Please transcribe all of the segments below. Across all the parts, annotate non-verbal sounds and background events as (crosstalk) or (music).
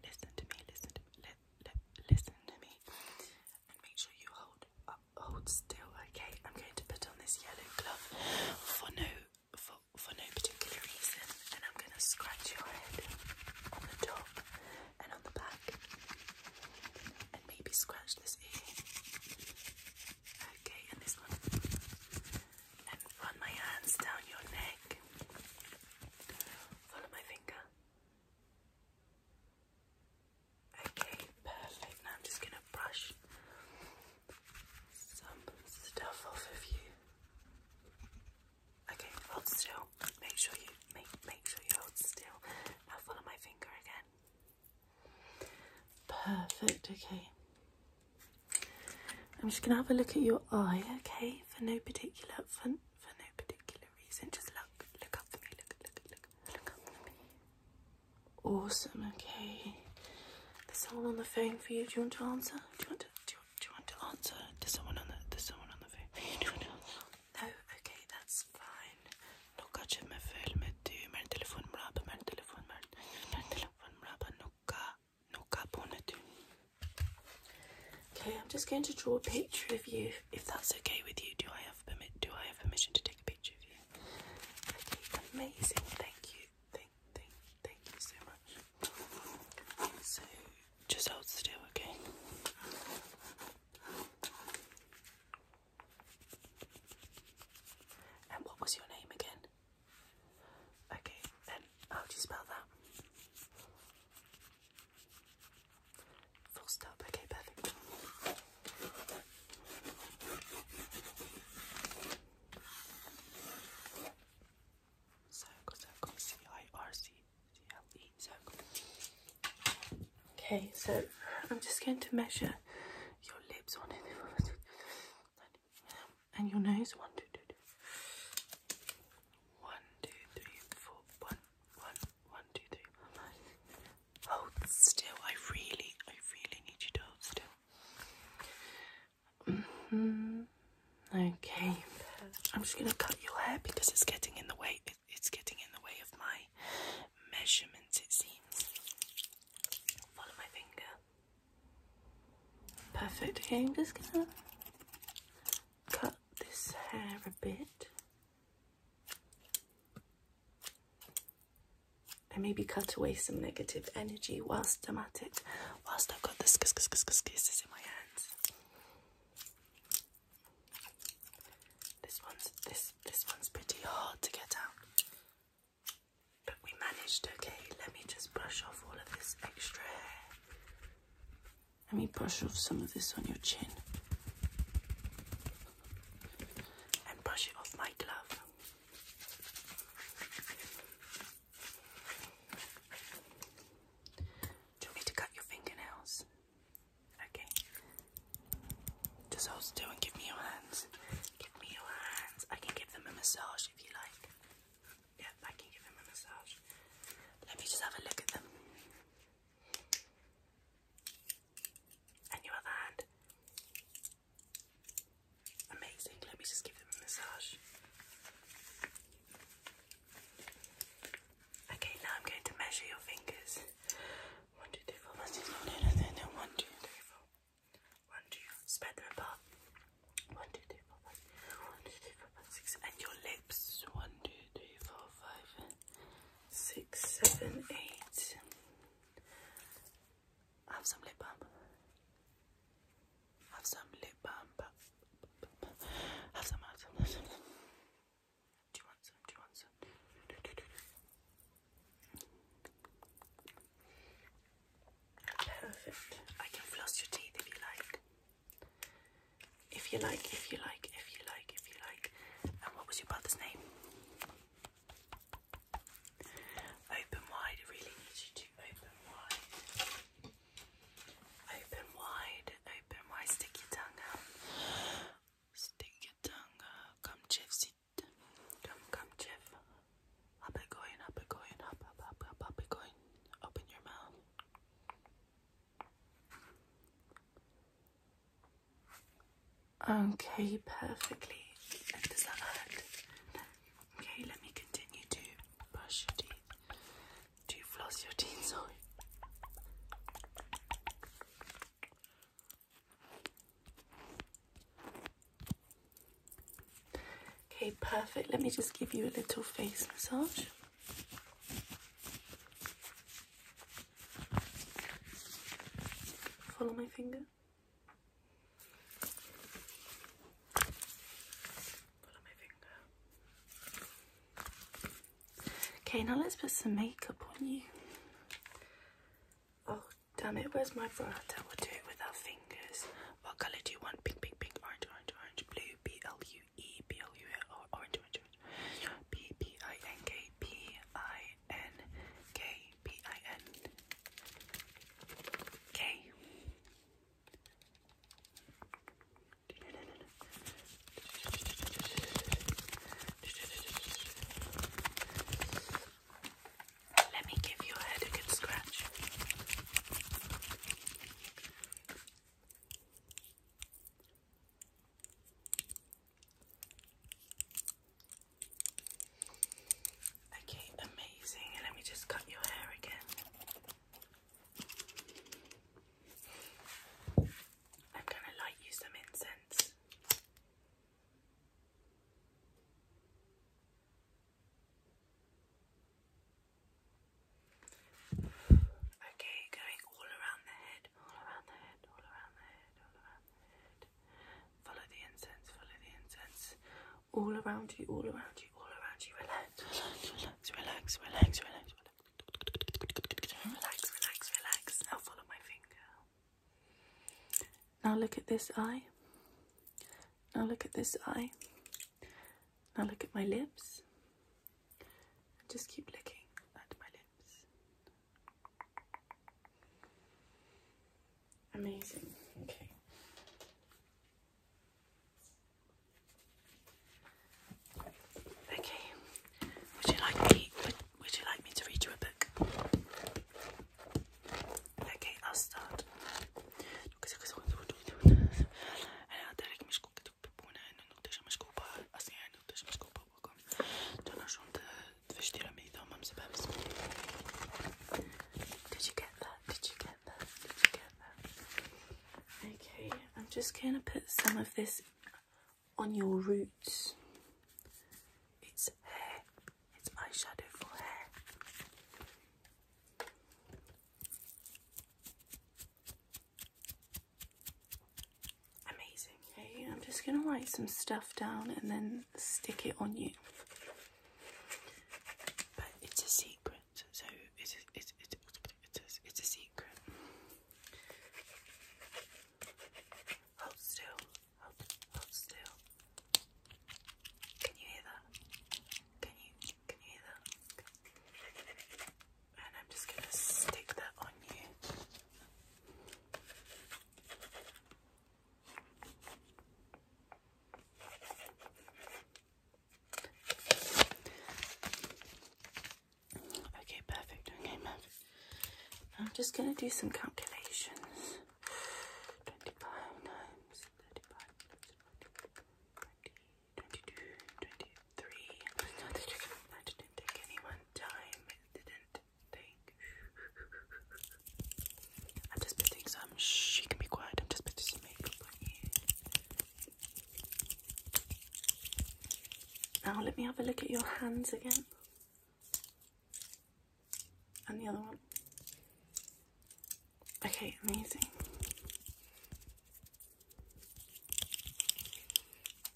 Listen to me, listen to me, listen to me. And make sure you hold hold still, okay? I'm going to put on this yellow glove for no for for no particular reason, and I'm gonna scratch your head on the top and on the back, and maybe scratch this ear. Okay, and this one and run my hands down your neck. Follow my finger. Okay, perfect. Now I'm just gonna brush some stuff off of you. Okay, hold still. Make sure you make make sure you hold still. Now follow my finger again. Perfect, okay. I'm just gonna have a look at your eye, okay? For no particular for, for no particular reason. Just look, look up for me, look, look, look, look up for me. Awesome, okay. There's someone on the phone for you. Do you want to answer? Do you want to do you, want to answer? There's someone on the there's someone on the phone Do you want to answer? No, okay, that's fine. Nunca me filme du. Mein Telefon brab, mein Telefon, mein Telefon brab, nunca knock up Okay, I'm just going to draw a picture of you, if that's okay with you. Do I have permit? Do I have permission to take a picture of you? Okay, amazing. Thank you. Thank, thank, thank you so much. So, just hold still, okay? And what was your name again? Okay, and how do you spell that? Full stop, okay, perfect. Circle, circle, C I R C C L E, circle. Okay, so I'm just going to measure your lips on it. (laughs) and your nose. One, two, two, two. One, two, three, four. One, one, one, two, three. Hold still. I really, I really need you to hold still. Mm -hmm. Okay. I'm just gonna cut your hair because it's getting in the way. It, it's getting in the way of my measurements. It seems. Follow my finger. Perfect. Okay, I'm just gonna cut this hair a bit. And maybe cut away some negative energy whilst I'm at it, whilst I've got the skis in my hands. This one's this this one's pretty hard to get out. But we managed, okay? Let me just brush off all of this extra Let me brush off some of this on your chin. And brush it off my glove. Do you want to cut your fingernails? Okay. Just hold still and give me your hands. Give me your hands. I can give them a massage let me just have a look at them. And your other hand. Amazing. Let me just give them a massage. Okay, now I'm going to measure your fingers. One, two, three, four. One, two, spread them apart. One, two, three, four, five. One, two, three, four, five, six. And your lips. One, two, three, four, five, six, seven, eight. Have some lip balm. Have some lip balm. have some. Do you want some? Do you want some? Perfect. I can floss your teeth if you like. If you like, if you like, if you like, if you like. And what was your brother's name? Open wide. really need you to open wide. Open wide. Open wide. Stick your tongue out. Stick your tongue out. Come, Gypsy Come, come, Jeff. Up it going, up it going, up, up, up, up, up it going. Open your mouth. Okay, perfectly. does that hurt? Okay, let me continue to brush your teeth. To floss your teeth, (laughs) sorry. Okay, perfect. Let me just give you a little face massage. Follow my finger. Follow my finger. Okay, now let's put some makeup on you. Oh, damn it. Where's my brata? We'll do it with our fingers. What colour do you want? Pink, pink, pink, orange, orange, orange, blue, B L U E, B L U E, or orange, orange, orange. B P I N K, P I N K, P I N K. No, no, no, no. Let me give your head a good scratch. Okay, amazing. let me just cut your hair again. I'm going to light you some incense. Okay, going all around the head, all around the head, all around the head, all around the head. Follow the incense, follow the incense. All around you, all around you, all around you. Relax, relax, relax, relax, relax, relax. Relax, relax, Now follow my finger. Now look at this eye. Now look at this eye. Now look at my lips. And just keep looking at my lips. Amazing. Okay. Okay. Would you like me? Would you like me to read you a book? Okay, I'll start. Did you get that? Did you get that? Okay, I'm just gonna put some of this on your roots. It's hair, it's eyeshadow for hair. Amazing. Okay, I'm just going to write some stuff down and then stick it on you. But it's a secret, so it's it's, it's, it's, it's a secret. Hold still. Hold, still. Can you hear that? Can you can you hear that? And I'm just gonna stick that on you. Okay, perfect. Okay, I'm just going to do some calculations. 25 times didn't take anyone time. It didn't take. I'm just putting some. Um, Shh, can be quiet. I'm just putting some makeup now let me have a look at your hands again. And the other one. Okay, amazing.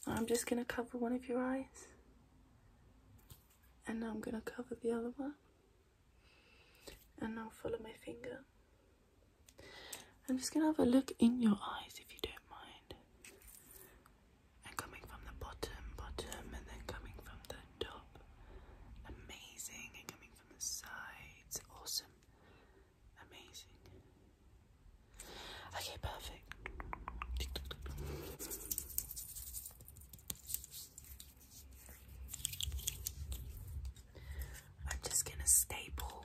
I'm just going to cover one of your eyes. And I'm going to cover the other one. And now follow my finger. I'm just going to have a look in your eyes if you don't mind and coming from the bottom, bottom, and then coming from the top. Amazing, and coming from the sides. Awesome, amazing. Okay, perfect. I'm just gonna staple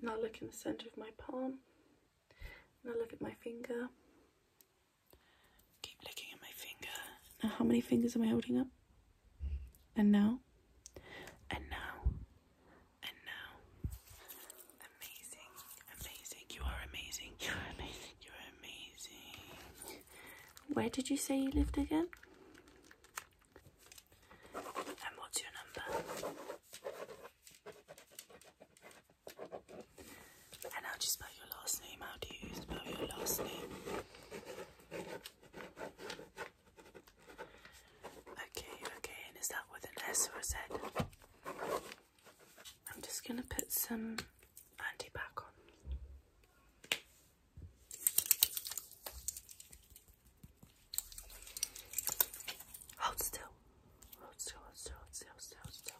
Now look in the center of my palm. Now look at my finger. Keep looking at my finger. Now how many fingers am I holding up? And now? And now? And now? Amazing. Amazing. You are amazing. You are amazing. You are amazing. Where did you say you lived again? And what's your number? And I'll just spell your last name? How do you spell your last name? Okay, okay, and is that with an S or a Z? I'm just gonna put some anti back on. Hold still. Hold still, hold still, hold still, hold still,